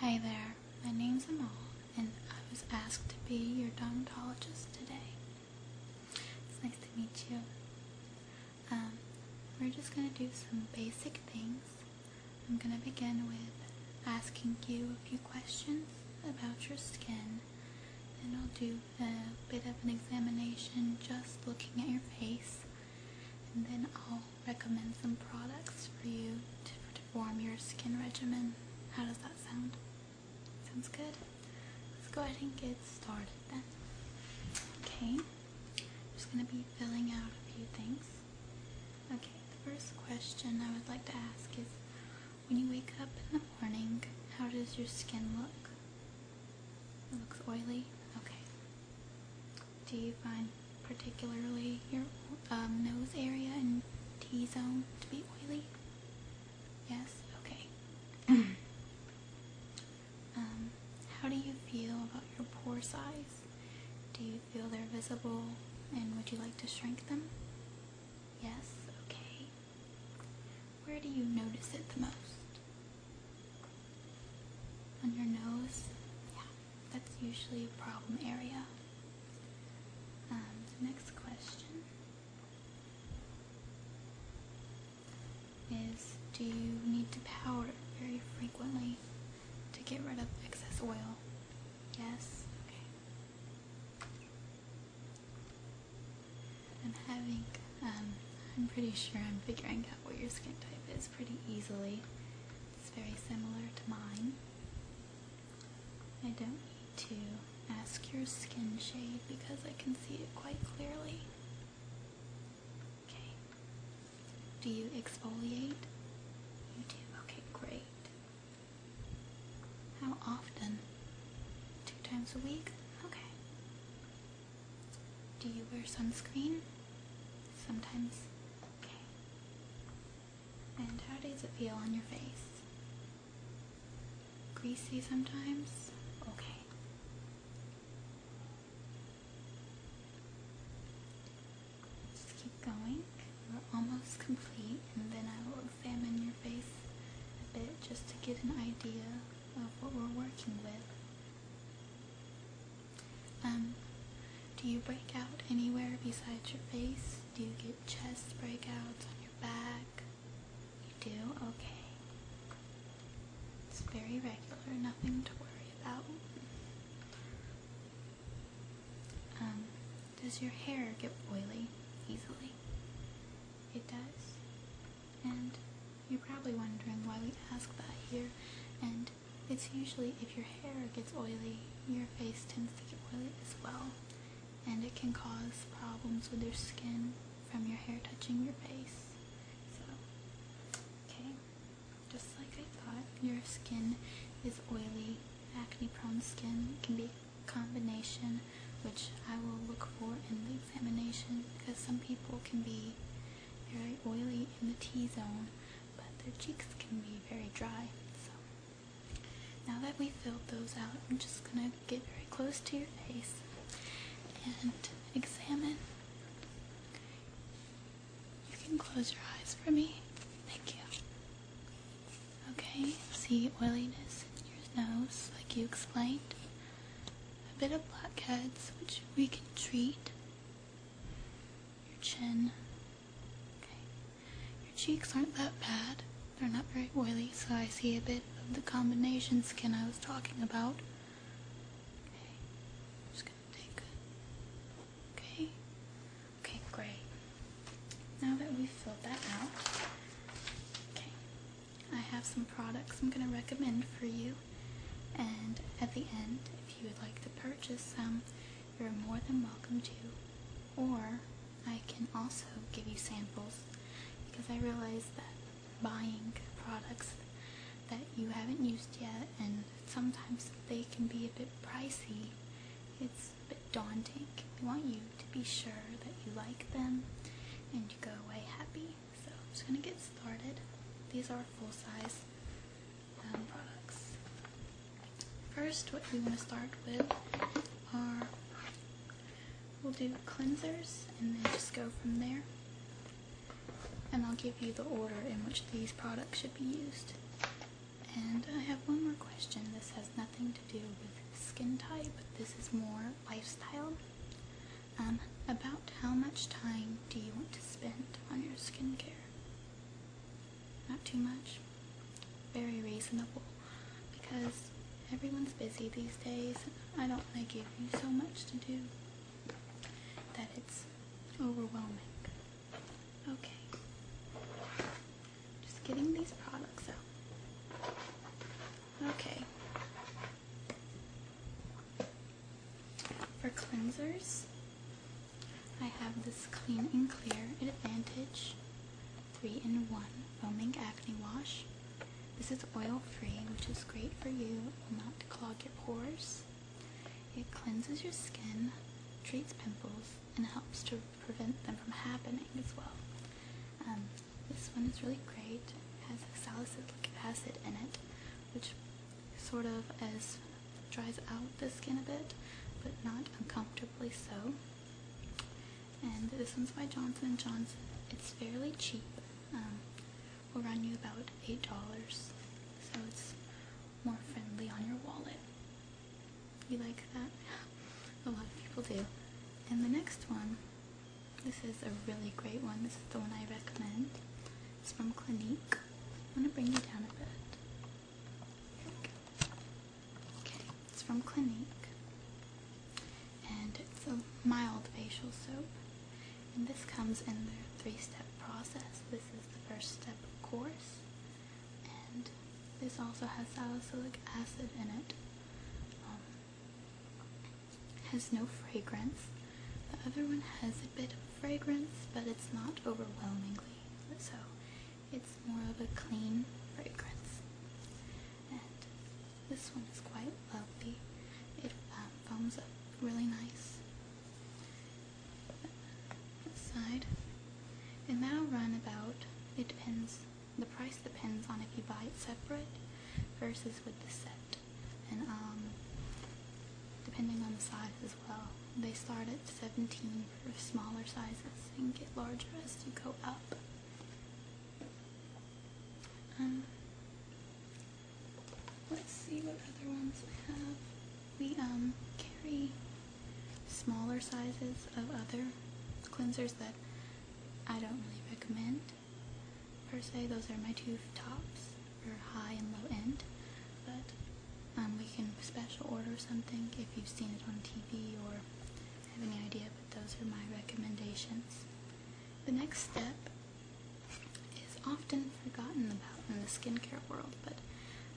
Hi there, my name's Amal, and I was asked to be your dermatologist today. It's nice to meet you. Um, we're just going to do some basic things. I'm going to begin with asking you a few questions about your skin, and I'll do a bit of an examination just looking at your face, and then I'll recommend some products for you to, form your skin regimen. How does that sound? Sounds good? Let's go ahead and get started then. Okay, I'm just going to be filling out a few things. Okay, the first question I would like to ask is when you wake up in the morning, how does your skin look? It looks oily? Okay. Do you find particularly your um, nose area and T-zone to be oily? Yes? Okay. Um, how do you feel about your pore size? Do you feel they're visible and would you like to shrink them? Yes? Okay. Where do you notice it the most? On your nose? Yeah that's usually a problem area. Um, the next question is do you need to powder very frequently to get rid of excess oil? Yes? Okay. I'm having, um, I'm pretty sure I'm figuring out what your skin type is pretty easily. It's very similar to mine. I don't need to ask your skin shade because I can see it quite clearly. Okay. Do you exfoliate? You do. Okay, great. How often? Two times a week? Okay. Do you wear sunscreen? Sometimes and how does it feel on your face? Greasy sometimes? Okay. Just keep going. We're almost complete, and then I will examine your face a bit just to get an idea of what we're working with. Um, do you break out anywhere besides your face? Do you get chest breakouts on your back? You do? Okay. It's very regular, nothing to worry about. Um, does your hair get oily easily? It does. And you're probably wondering why we ask that here, and it's usually if your hair gets oily, your face tends to get oily as well, and it can cause problems with your skin from your hair touching your face. So, okay, just like I thought, your skin is oily, acne prone skin can be a combination, which I will look for in the examination because some people can be very oily in the T-zone, but their cheeks can be very dry. So now that we've filled those out, I'm just gonna get very close to your face and examine. You can close your eyes for me. Thank you. Okay, see oiliness in your nose, like you explained. A bit of blackheads, which we can treat your chin. Your cheeks aren't that bad. They're not very oily, so I see a bit of the combination skin I was talking about. just gonna take Okay. Okay, great. Now that we filled that out, okay, I have some products I'm gonna recommend for you. And at the end, if you would like to purchase some, you're more than welcome to. Or I can also give you samples because I realize that buying products that you haven't used yet and sometimes they can be a bit pricey. It's a bit daunting. I want you to be sure that you like them and you go away happy. So I'm just going to get started. These are full size. First, what we want to start with are we'll do cleansers and then just go from there. And I'll give you the order in which these products should be used. And I have one more question. This has nothing to do with skin type. This is more lifestyle. Um, about how much time do you want to spend on your skincare? Not too much. Very reasonable because everyone's busy these days. I don't want to give you so much to do that it's overwhelming. Okay. Just getting these products out. Okay. For cleansers, I have this Clean and Clear Advantage 3 in 1 Foaming Acne Wash. This is oil free, which is great for you, it will not clog your pores. It cleanses your skin, treats pimples, and helps to prevent them from happening as well. Um, this one is really great, it has salicylic acid in it, which sort of as dries out the skin a bit, but not uncomfortably so. And this one's by Johnson & Johnson. It's fairly cheap. Um, will run you about $8, so it's more friendly on your wallet. You like that? a lot of people do. And the next one, this is a really great one. This is the one I recommend. It's from Clinique. I'm gonna bring you down a bit. it's from Clinique, and it's a mild facial soap. And this comes in the three-step process. This is the first step, of course, and this also has salicylic acid in it. Um, has no fragrance. The other one has a bit of fragrance, but it's not overwhelmingly so. It's more of a clean fragrance. And this one is quite lovely. It um, foams up really nice. side. And that'll run about, it depends, the price depends on if you buy it separate versus with the set and um, depending on the size as well. They start at 17 for smaller sizes and get larger as you go up. Um, let's see what other ones we have. We um, carry smaller sizes of other cleansers that I don't really recommend per se. Those are my two tops your high and low end, but um, we can special order something if you've seen it on TV or have any idea, but those are my recommendations. The next step is often forgotten about in the skincare world, but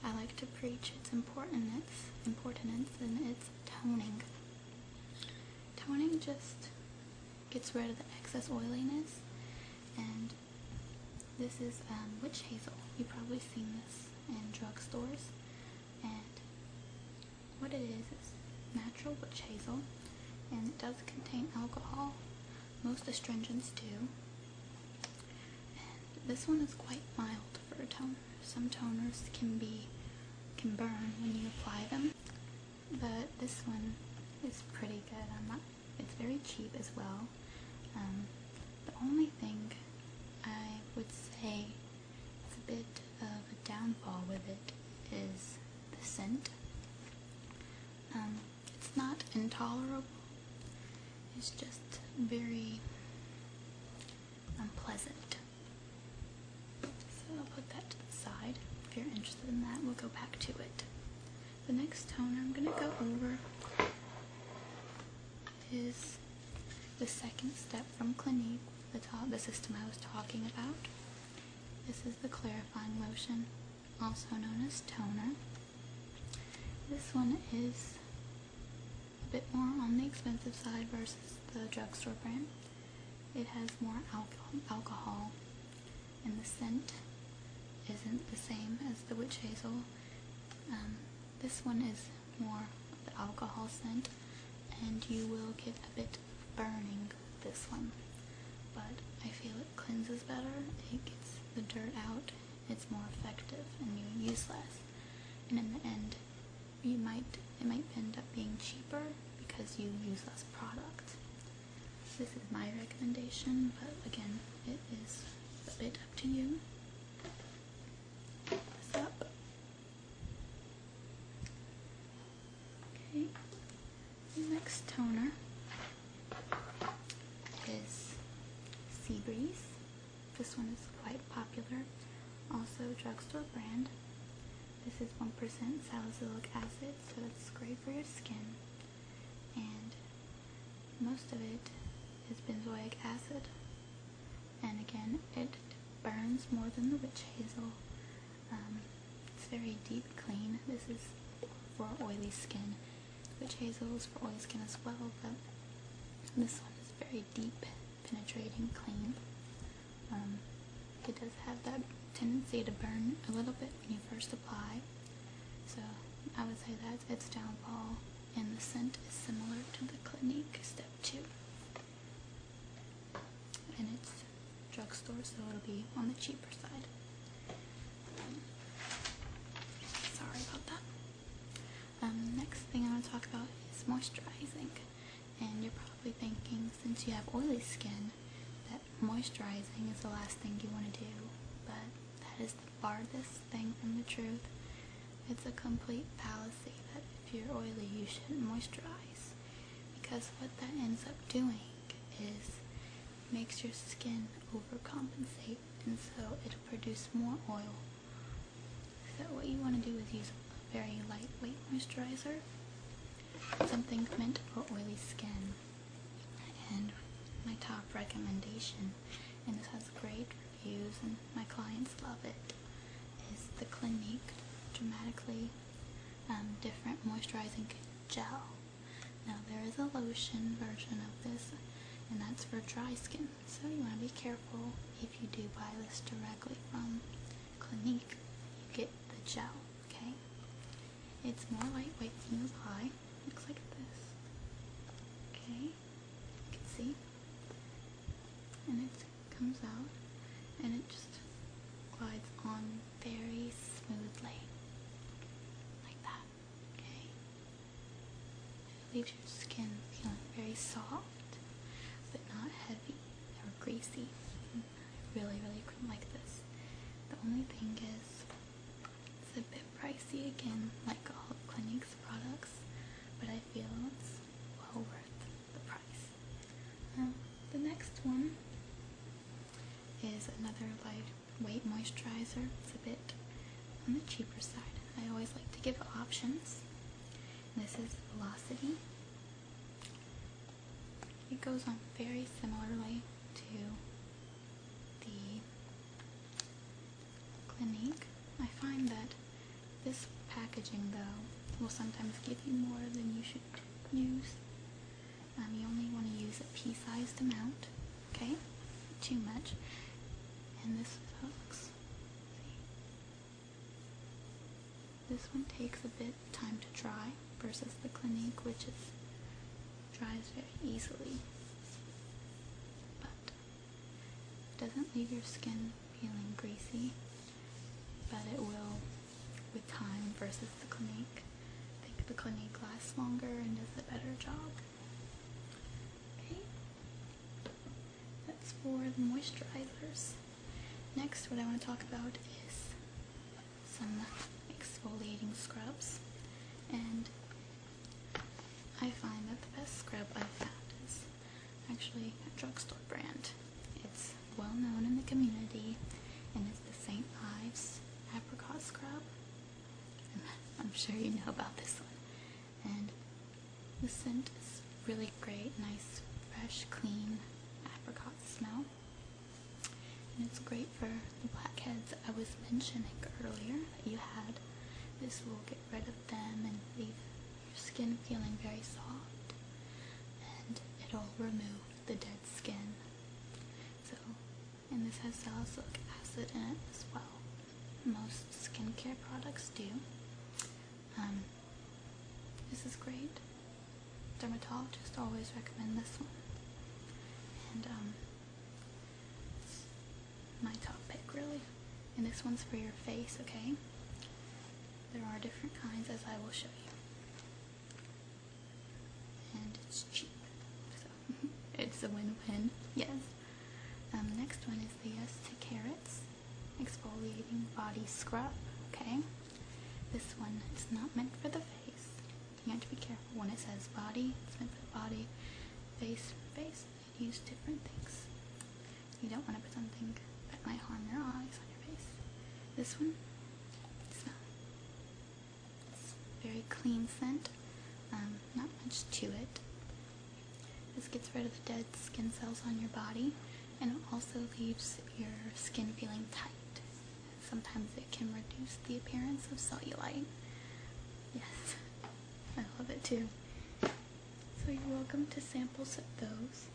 I like to preach its importance, importance and its toning. Toning just gets rid of the excess oiliness and this is um, witch hazel. You've probably seen this in drugstores. And what it is is natural witch hazel, and it does contain alcohol. Most astringents do. And this one is quite mild for a toner. Some toners can be can burn when you apply them, but this one is pretty good. I'm it's very cheap as well. Um, the only thing I would say is a bit of a downfall with it is the scent. Um, it's not intolerable. It's just very unpleasant. So I'll put that to the side. If you're interested in that, we'll go back to it. The next toner I'm going to go over is the second step from Clinique, the, top. the system I was talking about. This is the clarifying lotion, also known as toner. This one is a bit more on the expensive side versus the drugstore brand. It has more alcohol and the scent isn't the same as the witch hazel. Um, this one is more of the alcohol scent, and you will get a bit burning this one. But I feel it cleanses better, it gets the dirt out, it's more effective, and you use less. And in the end, you might it might end up being cheaper because you use less product. This is my recommendation, but again, it is a bit up to you. next toner is Sea Breeze. This one is quite popular. Also drugstore brand. This is 1% salicylic acid, so it's great for your skin and most of it is benzoic acid. And again, it burns more than the witch hazel. Um, it's very deep clean. This is for oily skin. Witch hazel is for oily skin as well, but this one is very deep, penetrating, clean. Um, it does have that tendency to burn a little bit when you first apply. So I would say that's its downfall, and the scent is similar to the Clinique Step 2. And it's drugstore, so it'll be on the cheaper side. sorry about that. Um, next thing I want to talk about is moisturizing. And you're probably thinking, since you have oily skin, that moisturizing is the last thing you want to do, but that is the farthest thing from the truth. It's a complete fallacy that if you're oily, you shouldn't moisturize, because what that ends up doing is makes your skin overcompensate, and so it'll produce more oil. So what you want to do is use a very lightweight moisturizer, something meant for oily skin. And my top recommendation, and it has great reviews and my clients love it, is the Clinique Dramatically um, Different Moisturizing Gel. Now there is a lotion version of this, and that's for dry skin, so you want to be careful if you do buy this directly from Clinique. You get the gel okay? It's more lightweight than this high. Looks like this. Okay? You can see? And it comes out and it just glides on very smoothly. Like that. Okay? It leaves your skin feeling very soft, but not heavy or greasy cream, really, really cream like this. The only thing is, it's a bit pricey again, like all Clinique's products, but I feel it's well worth the price. Um, the next one is another weight moisturizer. It's a bit on the cheaper side. I always like to give options. This is Velocity. It goes on very similarly to the Clinique. I find that this packaging, though, will sometimes give you more than you should use. Um, you only want to use a pea-sized amount, okay? Too much. And this looks. This one takes a bit time to dry versus the Clinique, which is dries very easily, but doesn't leave your skin feeling greasy. But it will with time versus the Clinique. think the Clinique lasts longer and does a better job. Okay, that's for the moisturizers. Next, what I want to talk about is some exfoliating scrubs, and I find that the best scrub I've found is actually a drugstore brand. It's well known in the community, and it's the St. Ives Apricot Scrub. I'm sure you know about this one. And the scent is really great, nice, fresh, clean apricot smell. And it's great for the blackheads I was mentioning earlier that you had. This will get rid of them and leave your skin feeling very soft. And it'll remove the dead skin. So, and this has salicylic acid in it as well. Most skincare products do. Um, this is great dermatologists always recommend this one. And it's um, my top pick, really. And this one's for your face, okay? There are different kinds, as I will show you. And it's cheap, so it's a win-win, yes. Um, next one is the Yes to Carrots Exfoliating Body Scrub, okay? This one is not meant for the face you have to be careful when it says body, it's meant for the body, face, face, they use different things. You don't want to put something that might harm your eyes on your face. This one, it's not. very clean scent, um, not much to it. This gets rid of the dead skin cells on your body and it also leaves your skin feeling tight. Sometimes it can reduce the appearance of cellulite. Yes, I love it too. So you're welcome to samples of those.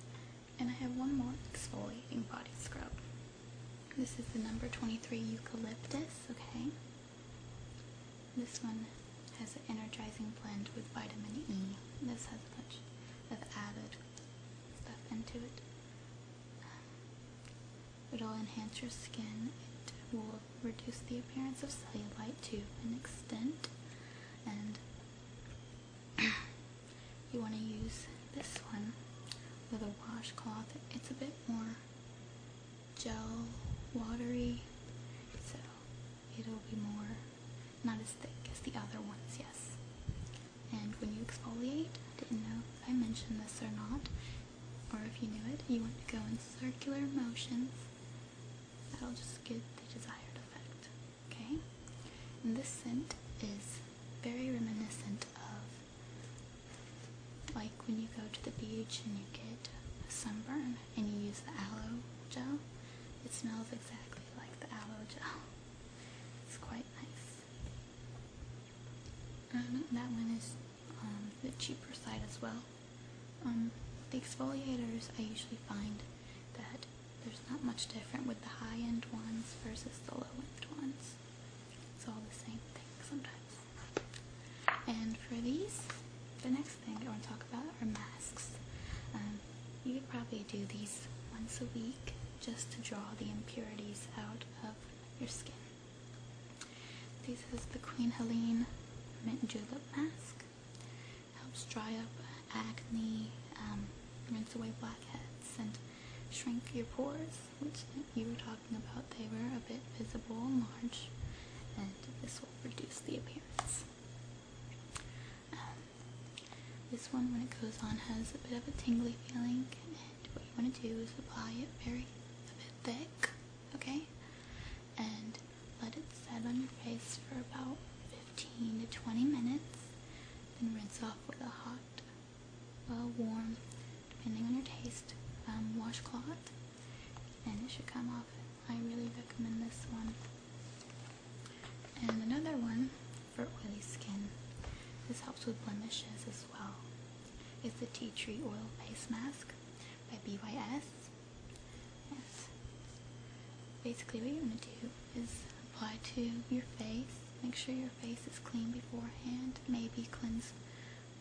And I have one more exfoliating body scrub. This is the number 23 eucalyptus, okay? This one has an energizing blend with vitamin E. This has a bunch of added stuff into it. It'll enhance your skin. It will reduce the appearance of cellulite to an extent. And you want to use this one with a washcloth. It's a bit more gel watery, so it'll be more not as thick as the other ones, yes. And when you exfoliate, I didn't know if I mentioned this or not, or if you knew it, you want to go in circular motions. That'll just get the desired effect. Okay? And this scent is very reminiscent of like when you go to the beach and you get a sunburn and you use the aloe gel. It smells exactly like the aloe gel. It's quite nice. Um, that one is um, the cheaper side as well. Um, the exfoliators I usually find that there's not much different with the high-end ones versus the low-end ones. It's all the same thing sometimes. And for these, the next thing I want to talk about are masks. Um, you could probably do these once a week just to draw the impurities out of your skin. This is the Queen Helene Mint Julep Mask. Helps dry up acne, um, rinse away blackheads, and shrink your pores, which you were talking about. They were a bit visible and large, and this will reduce the appearance. Um, this one, when it goes on, has a bit of a tingly feeling what you want to do is apply it very a bit thick, okay? And let it set on your face for about 15 to 20 minutes. Then rinse off with a hot, well uh, warm, depending on your taste, um, washcloth. And it should come off. I really recommend this one. And another one for oily skin. This helps with blemishes as well. It's the Tea Tree Oil Face Mask by BYS. Yes. Basically, what you're going to do is apply to your face. Make sure your face is clean beforehand. Maybe cleanse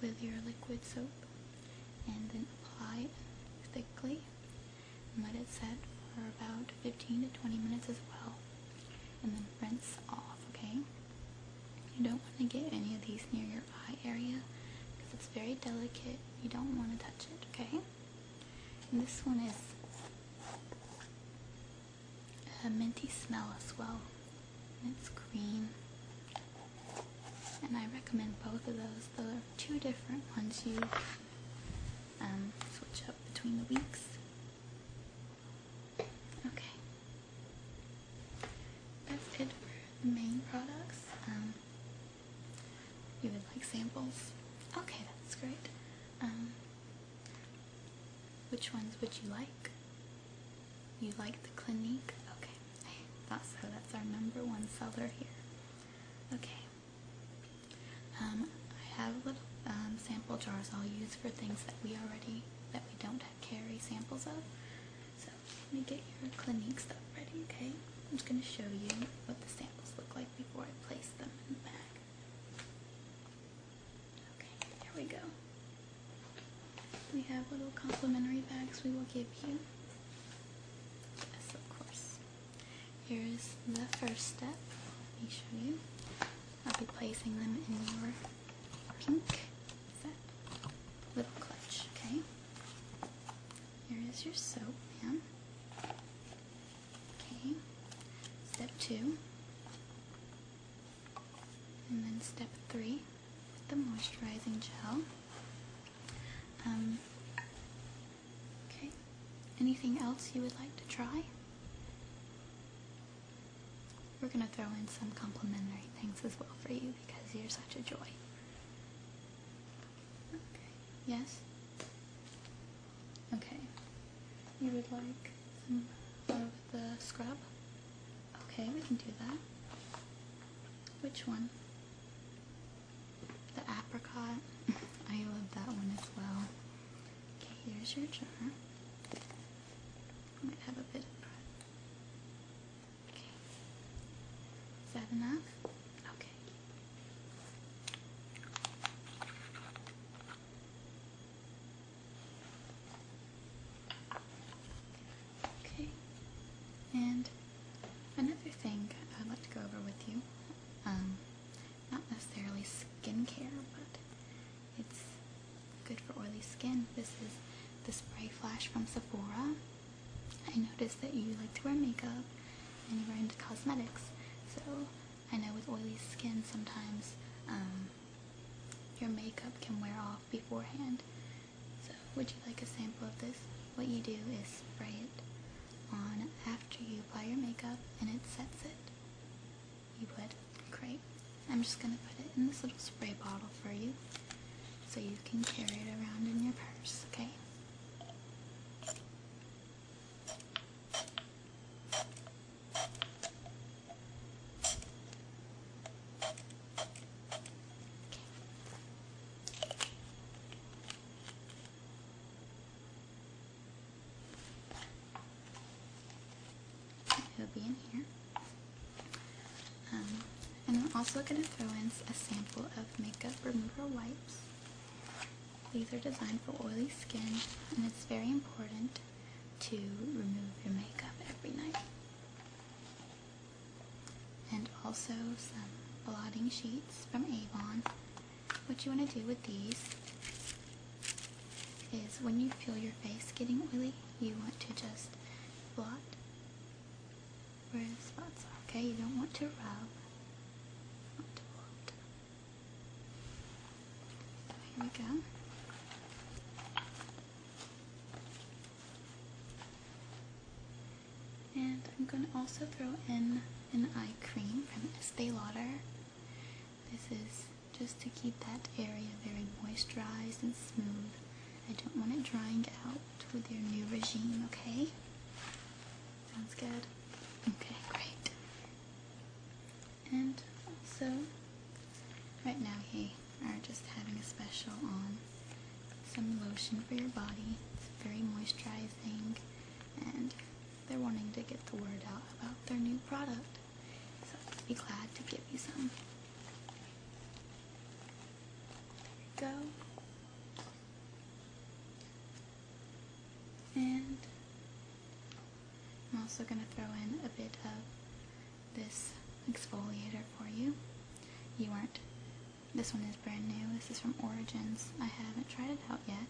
with your liquid soap. And then apply thickly and let it set for about 15 to 20 minutes as well and then rinse off, okay? You don't want to get any of these near your eye area because it's very delicate. You don't want to touch it, okay? And this one is a minty smell as well. And it's green. And I recommend both of those. There are two different ones you um, switch up between the weeks. Okay. That's it for the main products. Um, you would like samples? Okay, that's great. Um, which ones would you like? You like the Clinique? Okay, I so. That's our number one seller here. Okay. Um, I have little um, sample jars I'll use for things that we already, that we don't carry samples of. So let me get your Clinique stuff ready, okay? I'm just going to show you what the samples look like before I place them in the bag. Okay, here we go. We have little complimentary bags we will give you. of course. Here is the first step. Let me show you. I'll be placing them in your pink little clutch, okay? Here is your soap, ma'am. Okay, step two. And then step three, the moisturizing gel. Um, okay, anything else you would like to try? We're going to throw in some complimentary things as well for you because you're such a joy. Yes? Okay. You would like some of the scrub? Okay, we can do that. Which one? The apricot. I love that one as well. Okay, here's your jar. might have a bit Okay. Is that enough? Okay. Okay. And another thing I'd like to go over with you, um, not necessarily skincare, but it's good for oily skin. This is the Spray Flash from Sephora. I noticed that you like to wear makeup and you're into cosmetics. So I know with oily skin sometimes um, your makeup can wear off beforehand. So would you like a sample of this? What you do is spray it on after you apply your makeup and it sets it. You would? Great. I'm just going to put it in this little spray bottle for you so you can carry it around in your purse, okay? It'll be in here. Um, and I'm also going to throw in a sample of makeup remover wipes. These are designed for oily skin, and it's very important to remove your makeup every night. And also some blotting sheets from Avon what you want to do with these is when you feel your face getting oily, you want to just blot where the spots are, okay? You don't want to rub. here we go. And I'm going to also throw in an eye cream from Estee Lauder. This is just to keep that area very moisturized and smooth. I don't want it drying out with your new regime, okay? Sounds good? Okay, great. And also, right now we are just having a special on some lotion for your body. It's very moisturizing and they're wanting to get the word out about their new product. So I'd be glad to give you some. There you go. And I'm also going to throw in a bit of this exfoliator for you. You were not this one is brand new. This is from Origins. I haven't tried it out yet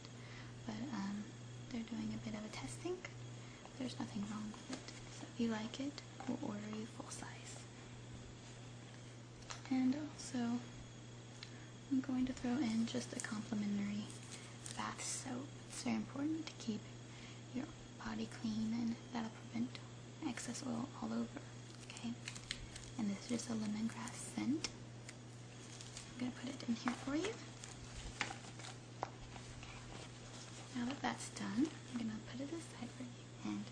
but um, they're doing a bit of a testing. There's nothing wrong with it. So if you like it, we'll order you full size. And also, I'm going to throw in just a complimentary bath soap. It's very important to keep your body clean and that'll prevent excess oil all over. Okay? And this is just a lemongrass scent. I'm going to put it in here for you. Now that that's done, I'm going to put it aside for you. And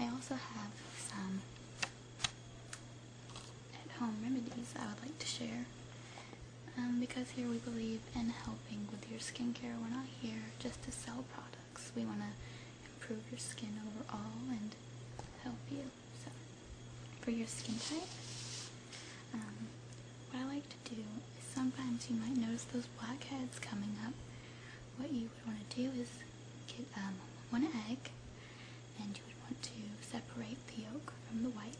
I also have some at-home remedies I would like to share. Um, because here we believe in helping with your skincare. We're not here just to sell products. We want to improve your skin overall and help you so for your skin type. Um, what I like to do is sometimes you might notice those blackheads coming up. What you would want to do is get um, one egg and you would want to separate the yolk from the white.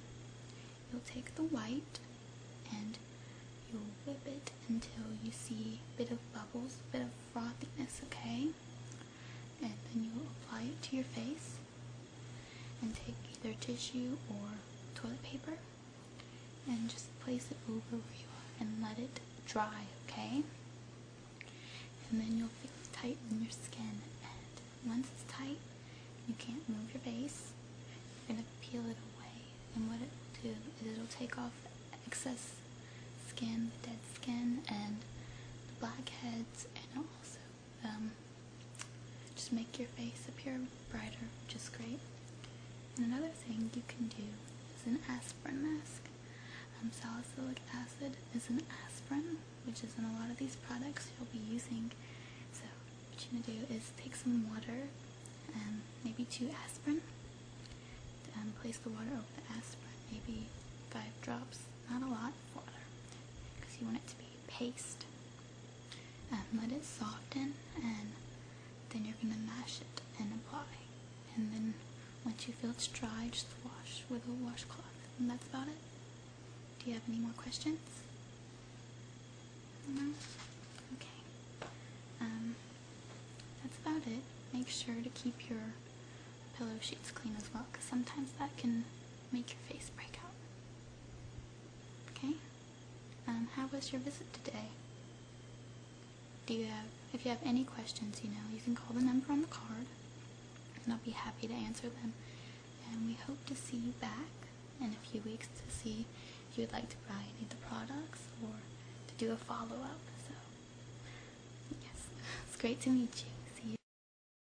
You'll take the white and you'll whip it until you see a bit of bubbles, a bit of frothiness, okay? And then you'll apply it to your face and take either tissue or toilet paper and just place it over where you are and let it dry, okay? And then you'll feel it your skin. And once it's tight, you can't move your face. You're going to peel it away. And what it will do is it'll take off excess skin, the dead skin, and the blackheads, and also um, just make your face appear brighter, just great. And another thing you can do is an aspirin mask. Um, salicylic acid is an aspirin, which is in a lot of these products you'll be using. So what you're going to do is take some water and maybe two aspirin. and place the water over the aspirin, maybe five drops, not a lot water, because you want it to be paste. and um, let it soften and then you're going to mash it and apply. And then once you feel it's dry, just wash with a washcloth. And that's about it. Do you have any more questions? No? Okay. Um, that's about it. Make sure to keep your pillow sheets clean as well, because sometimes that can make your face break out. Okay? Um, how was your visit today? Do you have, if you have any questions, you know, you can call the number on the card, and I'll be happy to answer them. And we hope to see you back in a few weeks to see if you would like to buy any of the products or to do a follow-up. So, yes, it's great to meet you. See you.